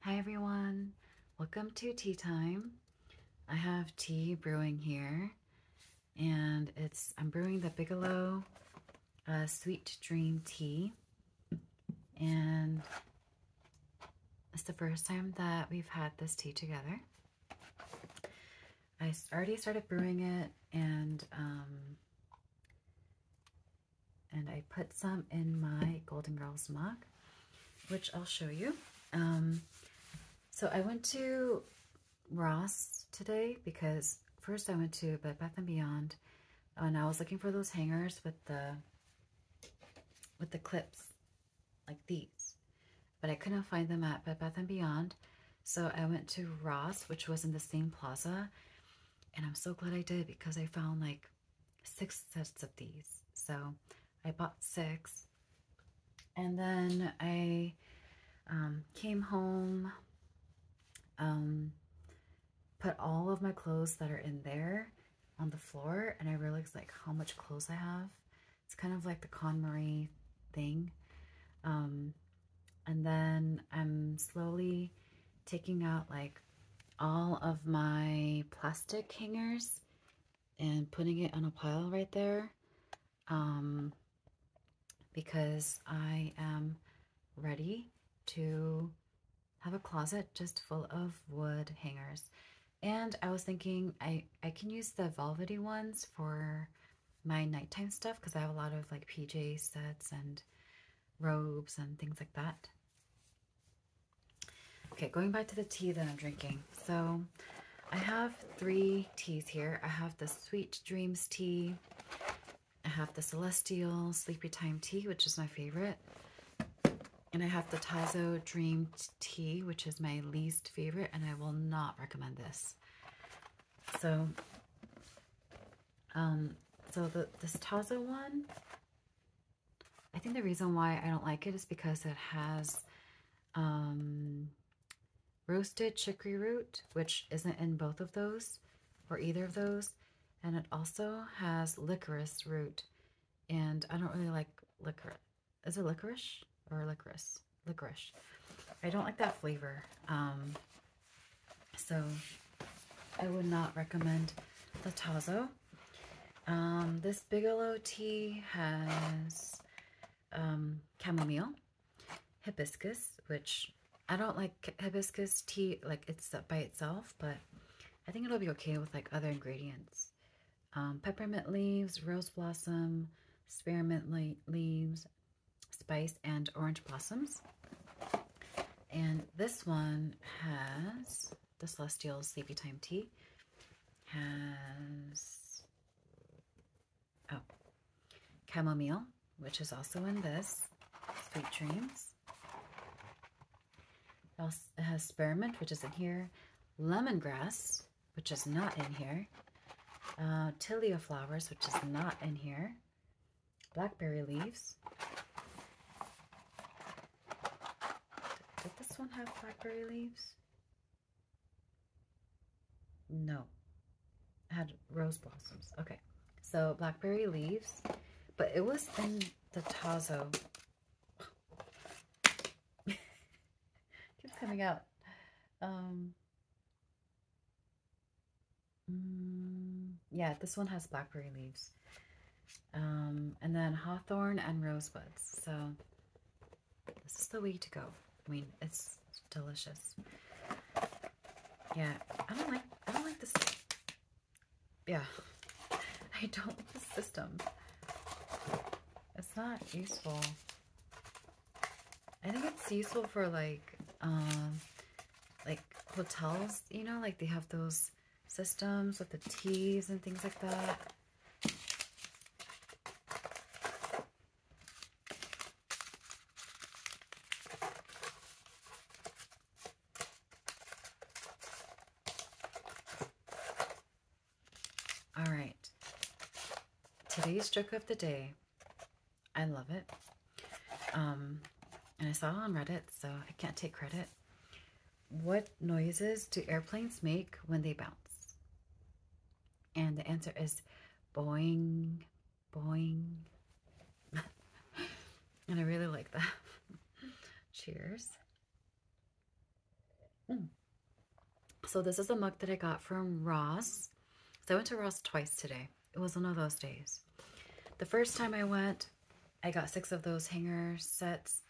Hi everyone, welcome to tea time. I have tea brewing here and it's, I'm brewing the Bigelow uh, Sweet Dream Tea and it's the first time that we've had this tea together. I already started brewing it and um, and I put some in my Golden Girls mug, which I'll show you. Um, so I went to Ross today because first I went to Bed Bath & Beyond and I was looking for those hangers with the with the clips like these but I couldn't find them at Bed Bath & Beyond so I went to Ross which was in the same plaza and I'm so glad I did because I found like six sets of these. So I bought six. And then I um, came home, um, put all of my clothes that are in there on the floor. And I realized like how much clothes I have. It's kind of like the KonMari thing. Um, and then I'm slowly taking out like all of my plastic hangers and putting it on a pile right there um, because I am ready to have a closet just full of wood hangers. And I was thinking I, I can use the velvety ones for my nighttime stuff because I have a lot of like PJ sets and robes and things like that. Okay, going back to the tea that I'm drinking. So I have three teas here. I have the Sweet Dreams tea. I have the Celestial Sleepy Time tea, which is my favorite. And I have the Tazo Dream tea, which is my least favorite, and I will not recommend this. So, um, so the, this Tazo one, I think the reason why I don't like it is because it has um, roasted chicory root, which isn't in both of those or either of those. And it also has licorice root. And I don't really like licorice. Is it licorice or licorice? Licorice. I don't like that flavor. Um, so I would not recommend the Tazo. Um, this Bigelow tea has um, chamomile, hibiscus, which I don't like hibiscus tea like it's by itself, but I think it'll be okay with like other ingredients. Um, peppermint leaves, rose blossom, spearmint leaves, spice, and orange blossoms. And this one has the Celestial Sleepy Time Tea has, oh, chamomile, which is also in this, Sweet Dreams. It also has spearmint, which is in here, lemongrass, which is not in here, uh, tilia flowers, which is not in here, blackberry leaves, did this one have blackberry leaves? No. It had rose blossoms. Okay. So blackberry leaves, but it was in the Tazo. keeps coming out. Um, mm, yeah, this one has blackberry leaves. Um, and then hawthorn and rosebuds. So this is the way to go. I mean, it's delicious. Yeah, I don't like, I don't like this. Yeah, I don't like this system. It's not useful. I think it's useful for like, um, like hotels, you know, like they have those systems with the T's and things like that. All right, today's joke of the day. I love it. Um, and I saw on Reddit, so I can't take credit what noises do airplanes make when they bounce? And the answer is boing, boing. and I really like that. Cheers. Hmm. So this is a mug that I got from Ross. I went to Ross twice today. It was one of those days. The first time I went, I got six of those hanger sets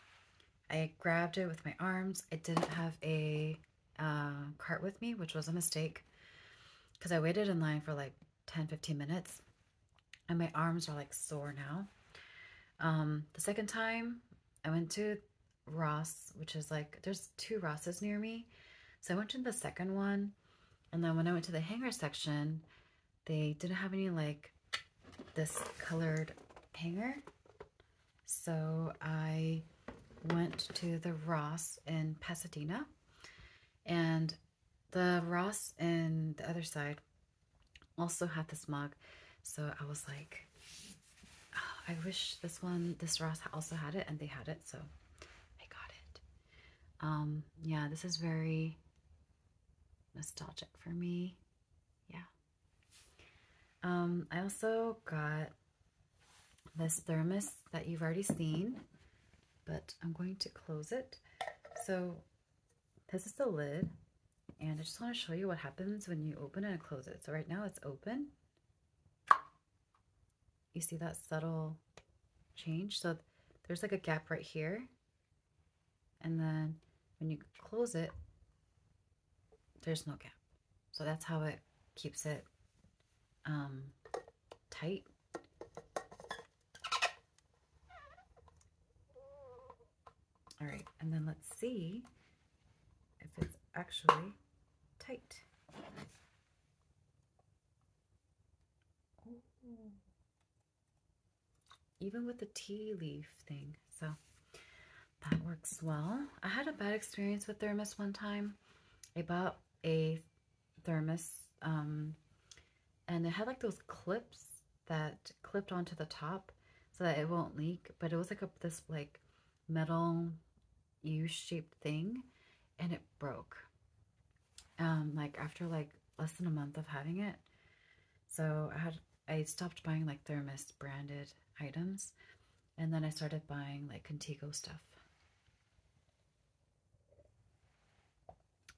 I grabbed it with my arms. I didn't have a uh, cart with me, which was a mistake because I waited in line for like 10, 15 minutes and my arms are like sore now. Um, the second time I went to Ross, which is like, there's two Rosses near me. So I went to the second one. And then when I went to the hanger section, they didn't have any like this colored hanger. So I went to the Ross in Pasadena and the Ross in the other side also had this mug. So I was like, oh, I wish this one, this Ross also had it and they had it. So I got it. Um, yeah, this is very nostalgic for me. Yeah. Um, I also got this thermos that you've already seen, but I'm going to close it. So this is the lid, and I just want to show you what happens when you open and close it. So right now it's open. You see that subtle change? So there's like a gap right here, and then when you close it, there's no gap. So that's how it keeps it um, tight. All right, and then let's see if it's actually tight even with the tea leaf thing. So that works well. I had a bad experience with thermos one time. I bought a thermos um, and it had like those clips that clipped onto the top so that it won't leak. But it was like a, this like metal U-shaped thing and it broke. Um, like after like less than a month of having it. So I had I stopped buying like Thermos branded items and then I started buying like Contigo stuff.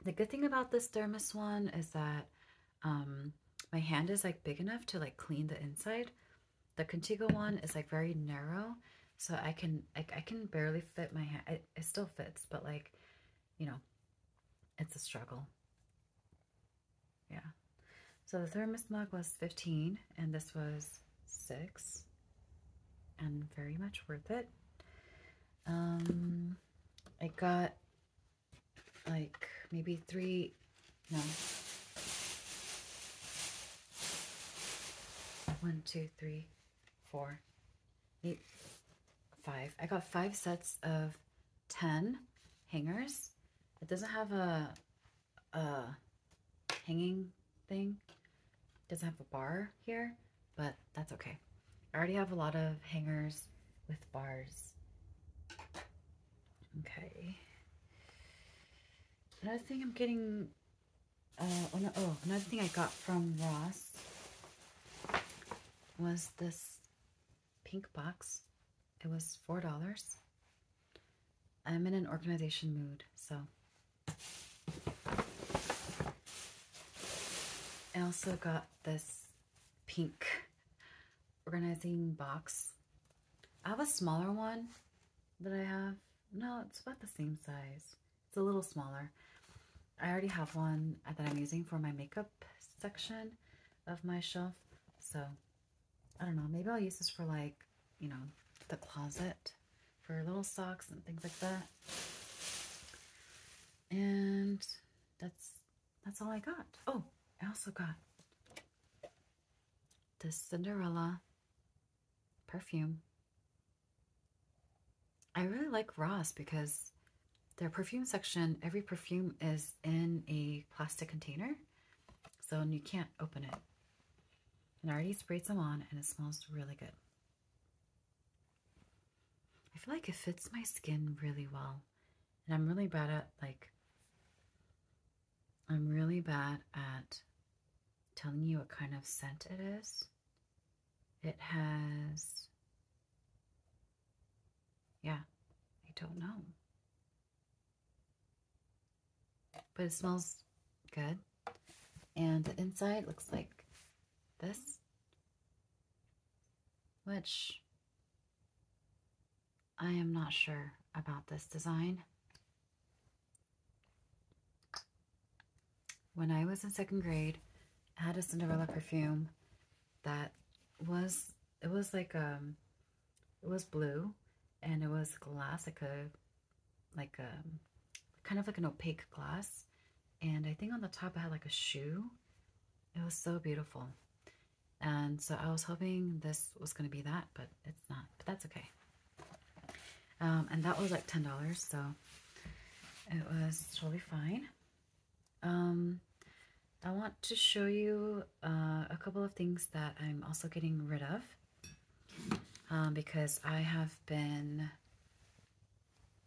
The good thing about this Thermos one is that um, my hand is like big enough to like clean the inside. The Contigo one is like very narrow so I can like I can barely fit my hand. it still fits but like you know it's a struggle. Yeah. So the thermos mug was 15 and this was 6 and very much worth it. Um, I got like maybe three, no, one, two, three, four, eight, five. I got five sets of 10 hangers it doesn't have a, a hanging thing. It doesn't have a bar here, but that's okay. I already have a lot of hangers with bars. Okay. Another thing I'm getting, uh, oh, no, oh, another thing I got from Ross was this pink box it was four dollars. I'm in an organization mood, so I also got this pink organizing box. I have a smaller one that I have. No, it's about the same size. It's a little smaller. I already have one that I'm using for my makeup section of my shelf. So I don't know, maybe I'll use this for like, you know, the closet for little socks and things like that. And that's that's all I got. Oh, I also got this Cinderella perfume. I really like Ross because their perfume section, every perfume is in a plastic container, so you can't open it. And I already sprayed some on, and it smells really good. I feel like it fits my skin really well. And I'm really bad at, like, I'm really bad at telling you what kind of scent it is. It has, yeah, I don't know. But it smells good. And the inside looks like this. Which I am not sure about this design. When I was in second grade, I had a Cinderella perfume that was it was like um it was blue and it was glass like a like a um, kind of like an opaque glass and I think on the top I had like a shoe it was so beautiful and so I was hoping this was gonna be that but it's not but that's okay um, and that was like ten dollars so it was totally fine um, I want to show you uh, a couple of things that I'm also getting rid of um, because I have been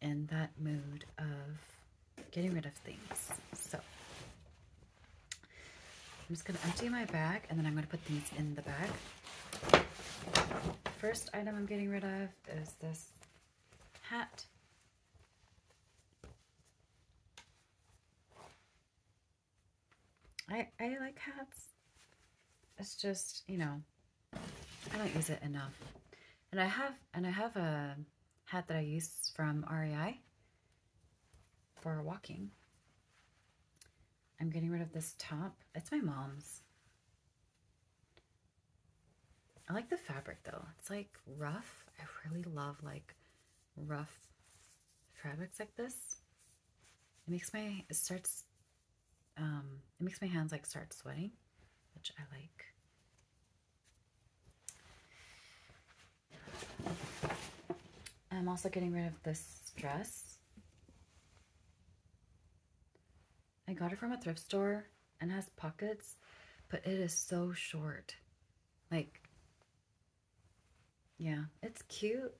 in that mood of getting rid of things. So I'm just going to empty my bag and then I'm going to put these in the bag. First item I'm getting rid of is this hat I, I like hats. It's just, you know, I don't use it enough. And I have, and I have a hat that I use from REI for walking. I'm getting rid of this top. It's my mom's. I like the fabric though. It's like rough. I really love like rough fabrics like this, it makes my, it starts, um, it makes my hands like start sweating, which I like. I'm also getting rid of this dress. I got it from a thrift store and has pockets, but it is so short. Like, yeah, it's cute,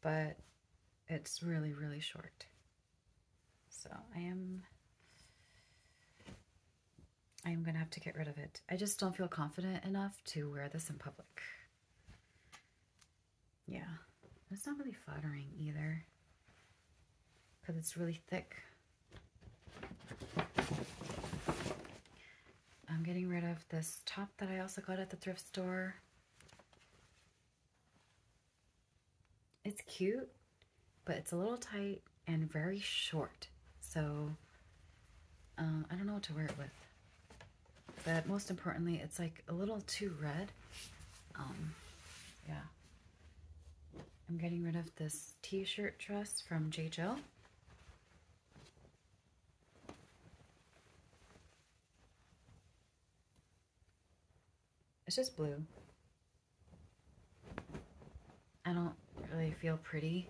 but it's really, really short. So I am, I am going to have to get rid of it. I just don't feel confident enough to wear this in public. Yeah, it's not really flattering either because it's really thick. I'm getting rid of this top that I also got at the thrift store. It's cute, but it's a little tight and very short. So uh, I don't know what to wear it with. But most importantly, it's like a little too red. Um, yeah. I'm getting rid of this t-shirt dress from J. Jill. It's just blue. I don't really feel pretty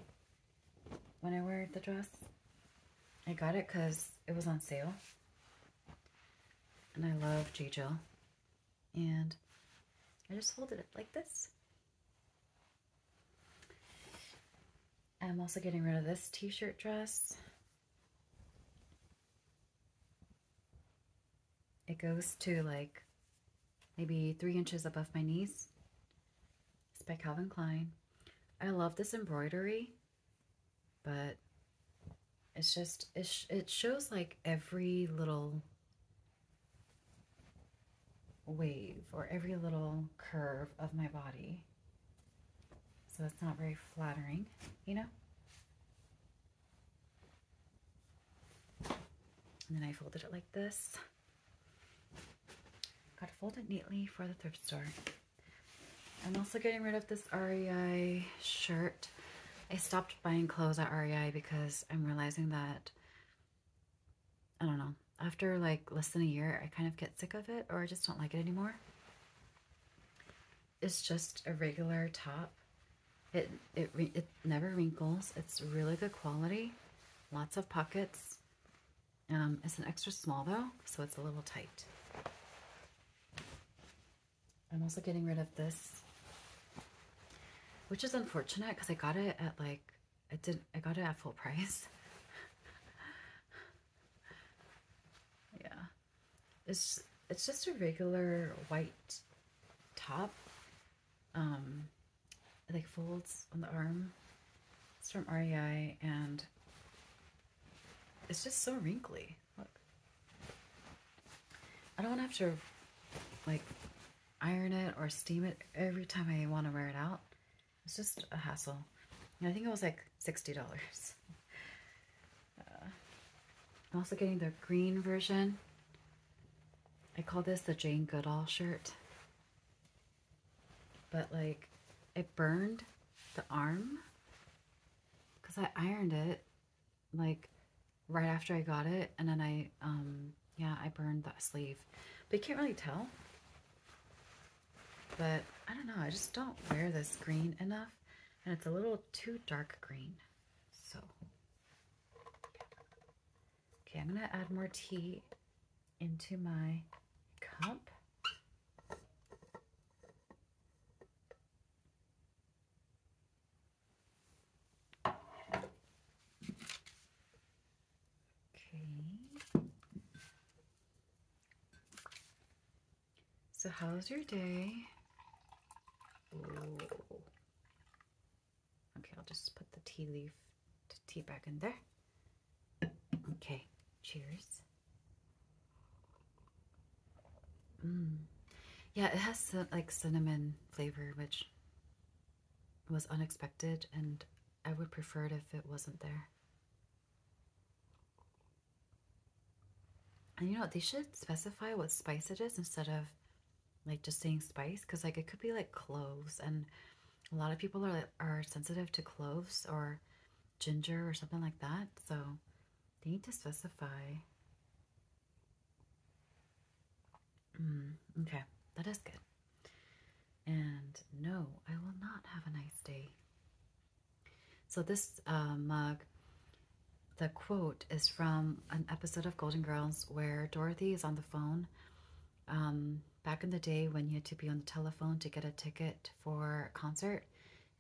when I wear the dress. I got it because it was on sale. And I love J. Jill. And I just folded it like this. I'm also getting rid of this t-shirt dress. It goes to like maybe three inches above my knees. It's by Calvin Klein. I love this embroidery, but it's just, it, it shows like every little wave or every little curve of my body. So it's not very flattering, you know? And then I folded it like this. Got to fold it neatly for the thrift store. I'm also getting rid of this REI shirt. I stopped buying clothes at REI because I'm realizing that I don't know. After like less than a year, I kind of get sick of it or I just don't like it anymore. It's just a regular top. It, it, it never wrinkles. It's really good quality. Lots of pockets. Um, it's an extra small though, so it's a little tight. I'm also getting rid of this, which is unfortunate because I got it at like I did I got it at full price. yeah. It's it's just a regular white top. Um like folds on the arm. It's from REI and it's just so wrinkly. Look. I don't have to like iron it or steam it every time I want to wear it out. It's just a hassle. I think it was like $60. Uh, I'm also getting the green version. I call this the Jane Goodall shirt. But like, it burned the arm because I ironed it like right after I got it. And then I, um, yeah, I burned that sleeve. But you can't really tell. But I don't know, I just don't wear this green enough. And it's a little too dark green. So, okay, I'm going to add more tea into my cup. Okay. So, how's your day? Okay, I'll just put the tea leaf, tea back in there. Okay, cheers. Mm. Yeah, it has like cinnamon flavor, which was unexpected, and I would prefer it if it wasn't there. And you know, they should specify what spice it is instead of like just saying spice because like it could be like cloves and a lot of people are are sensitive to cloves or ginger or something like that. So they need to specify. Mm, okay, that is good. And no, I will not have a nice day. So this uh, mug, the quote is from an episode of Golden Girls where Dorothy is on the phone. Um, back in the day when you had to be on the telephone to get a ticket for a concert,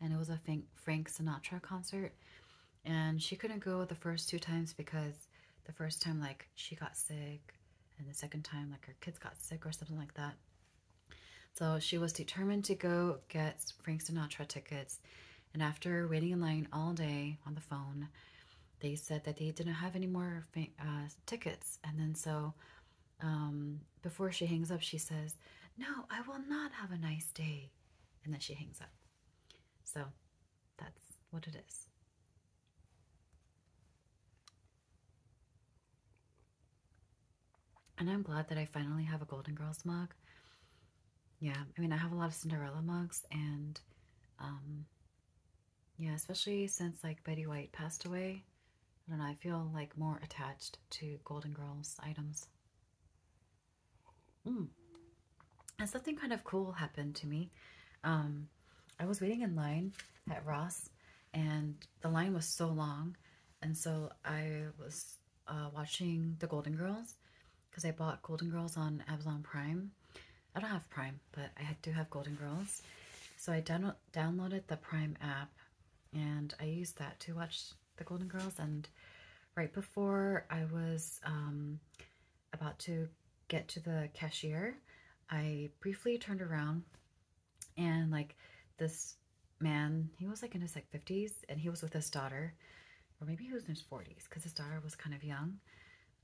and it was a Frank Sinatra concert, and she couldn't go the first two times because the first time like she got sick, and the second time like her kids got sick or something like that. So she was determined to go get Frank Sinatra tickets. And after waiting in line all day on the phone, they said that they didn't have any more uh, tickets. And then so um, before she hangs up, she says, No, I will not have a nice day. And then she hangs up. So that's what it is. And I'm glad that I finally have a Golden Girls mug. Yeah, I mean, I have a lot of Cinderella mugs and, um, yeah, especially since like Betty White passed away. I don't know, I feel like more attached to Golden Girls items. Hmm. And something kind of cool happened to me. Um, I was waiting in line at Ross and the line was so long. And so I was uh, watching The Golden Girls because I bought Golden Girls on Amazon Prime. I don't have Prime, but I do have Golden Girls. So I down downloaded the Prime app and I used that to watch The Golden Girls. And right before I was um, about to get to the cashier, I briefly turned around and like this man, he was like in his like 50s and he was with his daughter or maybe he was in his 40s because his daughter was kind of young.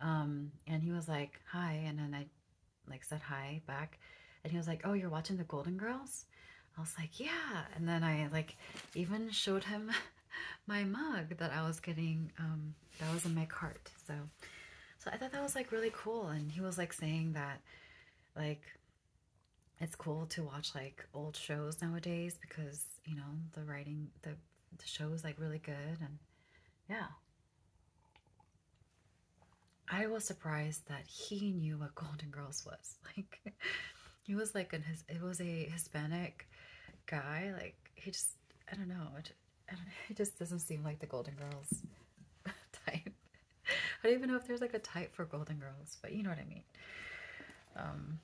Um, and he was like, hi. And then I like said hi back and he was like, oh, you're watching the Golden Girls? I was like, yeah. And then I like even showed him my mug that I was getting, um, that was in my cart. So, so I thought that was like really cool. And he was like saying that like it's cool to watch like old shows nowadays because you know the writing the, the show is like really good and yeah i was surprised that he knew what golden girls was like he was like an his it was a hispanic guy like he just i don't know I don't, it just doesn't seem like the golden girls type I don't even know if there's like a type for Golden Girls, but you know what I mean. Um,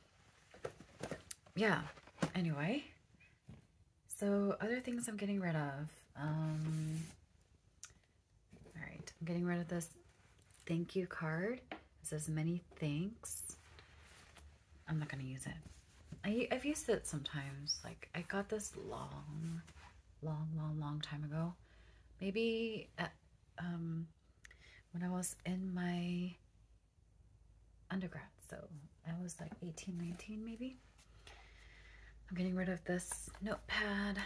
yeah, anyway. So, other things I'm getting rid of. Um, all right, I'm getting rid of this thank you card. It says many thanks. I'm not going to use it. I, I've used it sometimes. Like, I got this long, long, long, long time ago. Maybe um, when I was in my undergrad. So I was like eighteen, nineteen, maybe. I'm getting rid of this notepad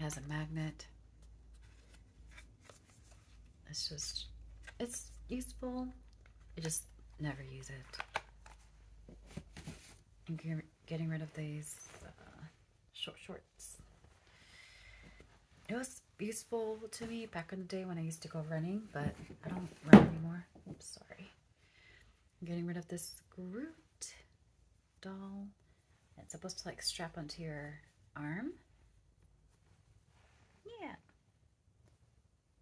Has a magnet. It's just, it's useful. I just never use it. I'm getting rid of these uh, short, shorts. It was useful to me back in the day when I used to go running, but I don't run anymore. I'm sorry. I'm getting rid of this Groot doll. It's supposed to like strap onto your arm. Yeah.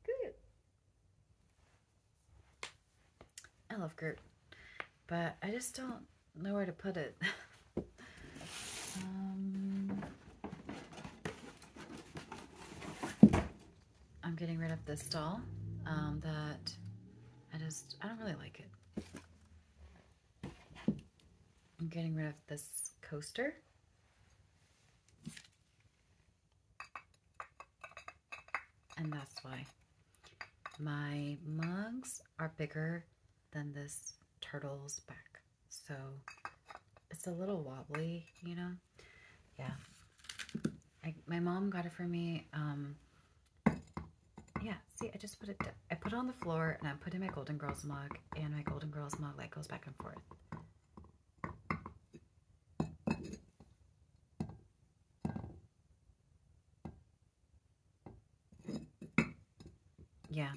Groot. I love Groot. But I just don't Know where to put it. Um, I'm getting rid of this doll um, that I just, I don't really like it. I'm getting rid of this coaster. And that's why my mugs are bigger than this turtle's back. So it's a little wobbly, you know? Yeah. I, my mom got it for me. Um, yeah, see, I just put it, I put on the floor and I put in my Golden Girls mug and my Golden Girls mug that goes back and forth yeah,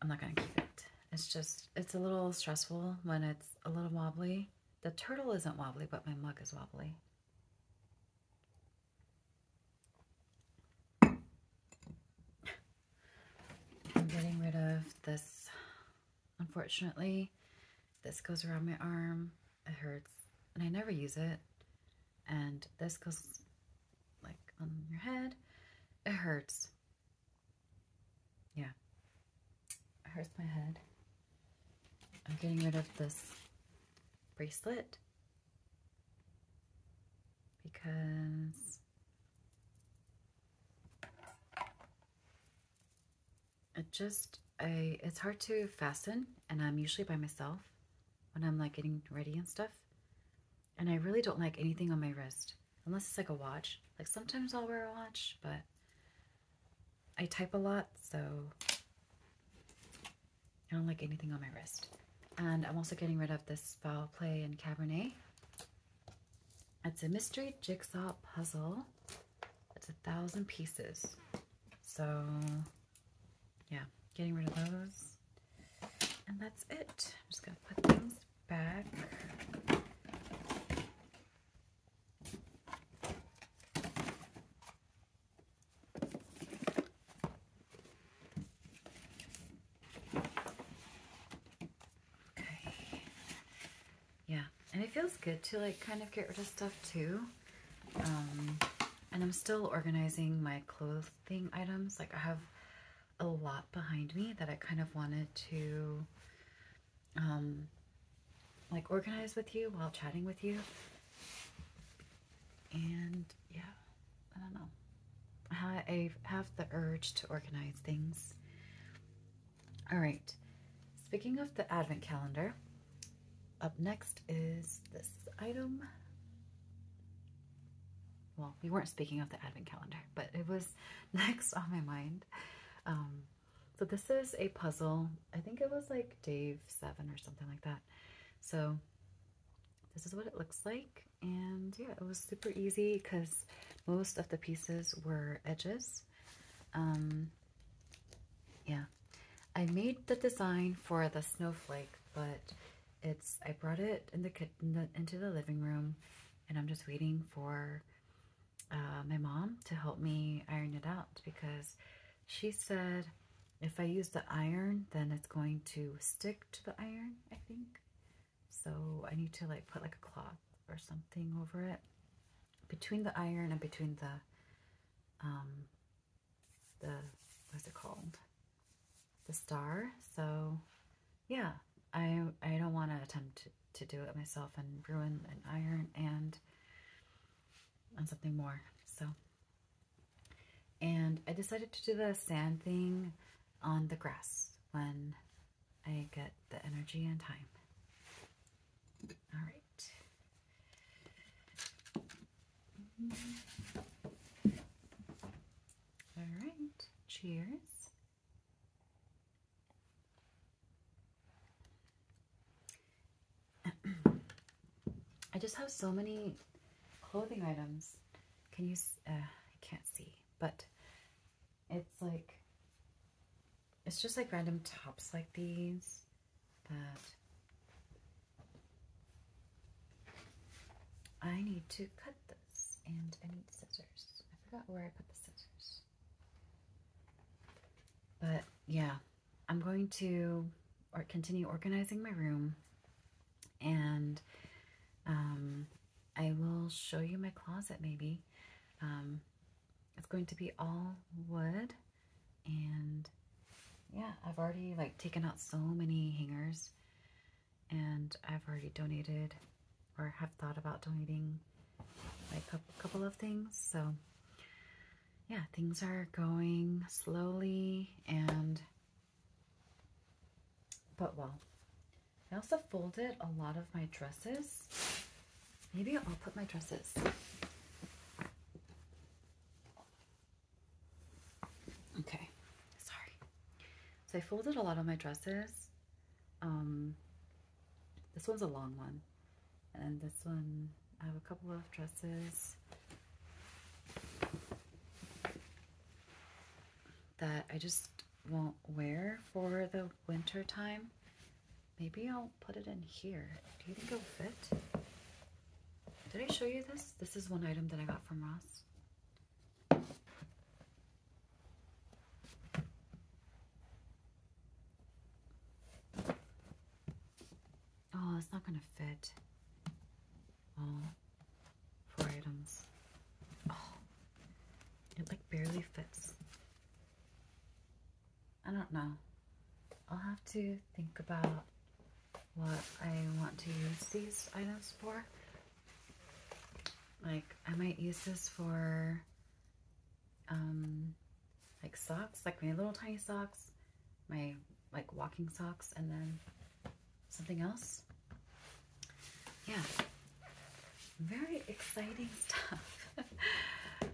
I'm not going to keep it. It's just, it's a little stressful when it's a little wobbly. The turtle isn't wobbly, but my mug is wobbly. I'm getting rid of this, unfortunately. This goes around my arm. It hurts. And I never use it. And this goes like on your head. It hurts. Yeah. It hurts my head. I'm getting rid of this bracelet because it just I it's hard to fasten and I'm usually by myself when I'm like getting ready and stuff. And I really don't like anything on my wrist unless it's like a watch. Like sometimes I'll wear a watch, but I type a lot, so I don't like anything on my wrist. And I'm also getting rid of this Foul Play and Cabernet. It's a mystery jigsaw puzzle. It's a thousand pieces. So yeah, getting rid of those. And that's it. I'm just going to put things back. Okay. Yeah, and it feels good to like kind of get rid of stuff too. Um, and I'm still organizing my clothes thing items. Like I have a lot behind me that I kind of wanted to um like organize with you while chatting with you. And yeah, I don't know. I have the urge to organize things. All right. Speaking of the advent calendar, up next is this item well, we weren't speaking of the advent calendar, but it was next on my mind. Um, so this is a puzzle. I think it was like Dave 7 or something like that. So this is what it looks like. And yeah, it was super easy because most of the pieces were edges. Um, yeah, I made the design for the snowflake, but it's I brought it in the kitchen into the living room, and I'm just waiting for uh, my mom to help me iron it out because she said if I use the iron, then it's going to stick to the iron. I think so. I need to like put like a cloth or something over it between the iron and between the um, the what's it called the star so yeah i i don't want to attempt to do it myself and ruin an iron and on something more so and i decided to do the sand thing on the grass when i get the energy and time all right all right, cheers. I just have so many clothing items. Can you, uh, I can't see, but it's like, it's just like random tops like these that I need to cut this, and I need scissors. I forgot where I put the scissors. But yeah, I'm going to or continue organizing my room, and um, I will show you my closet maybe. Um, it's going to be all wood, and yeah, I've already like taken out so many hangers and I've already donated or have thought about donating like a couple of things. So yeah, things are going slowly and but well. I also folded a lot of my dresses. Maybe I'll put my dresses Okay, sorry. So I folded a lot of my dresses. Um, this one's a long one. And this one, I have a couple of dresses that I just won't wear for the winter time. Maybe I'll put it in here. Do you think it'll fit? Did I show you this? This is one item that I got from Ross. Oh, it's not going to fit all oh, items. Oh, it like barely fits. I don't know. I'll have to think about what I want to use these items for. Like, I might use this for, um, like socks, like my little tiny socks, my like walking socks, and then something else. Yeah, very exciting stuff.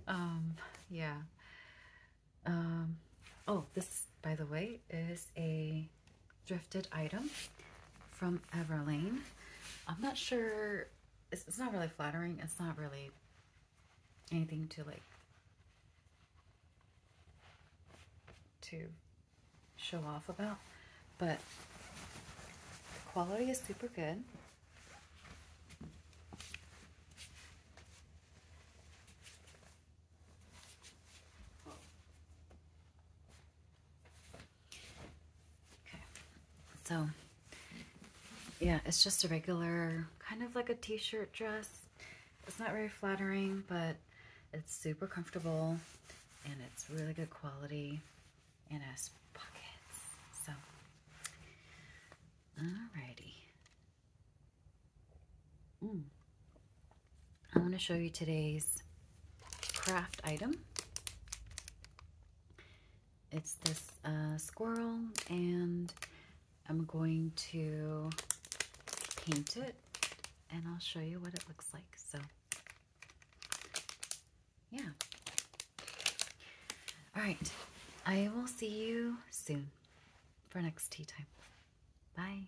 um, yeah. Um, oh, this, by the way, is a Drifted item from Everlane. I'm not sure, it's not really flattering. It's not really anything to like, to show off about, but the quality is super good. Okay, so yeah, it's just a regular kind of like a t-shirt dress. It's not very flattering, but it's super comfortable and it's really good quality and has pockets. So, alrighty. Mm. I want to show you today's craft item. It's this uh, squirrel and I'm going to paint it and I'll show you what it looks like. So yeah. All right. I will see you soon for next tea time. Bye.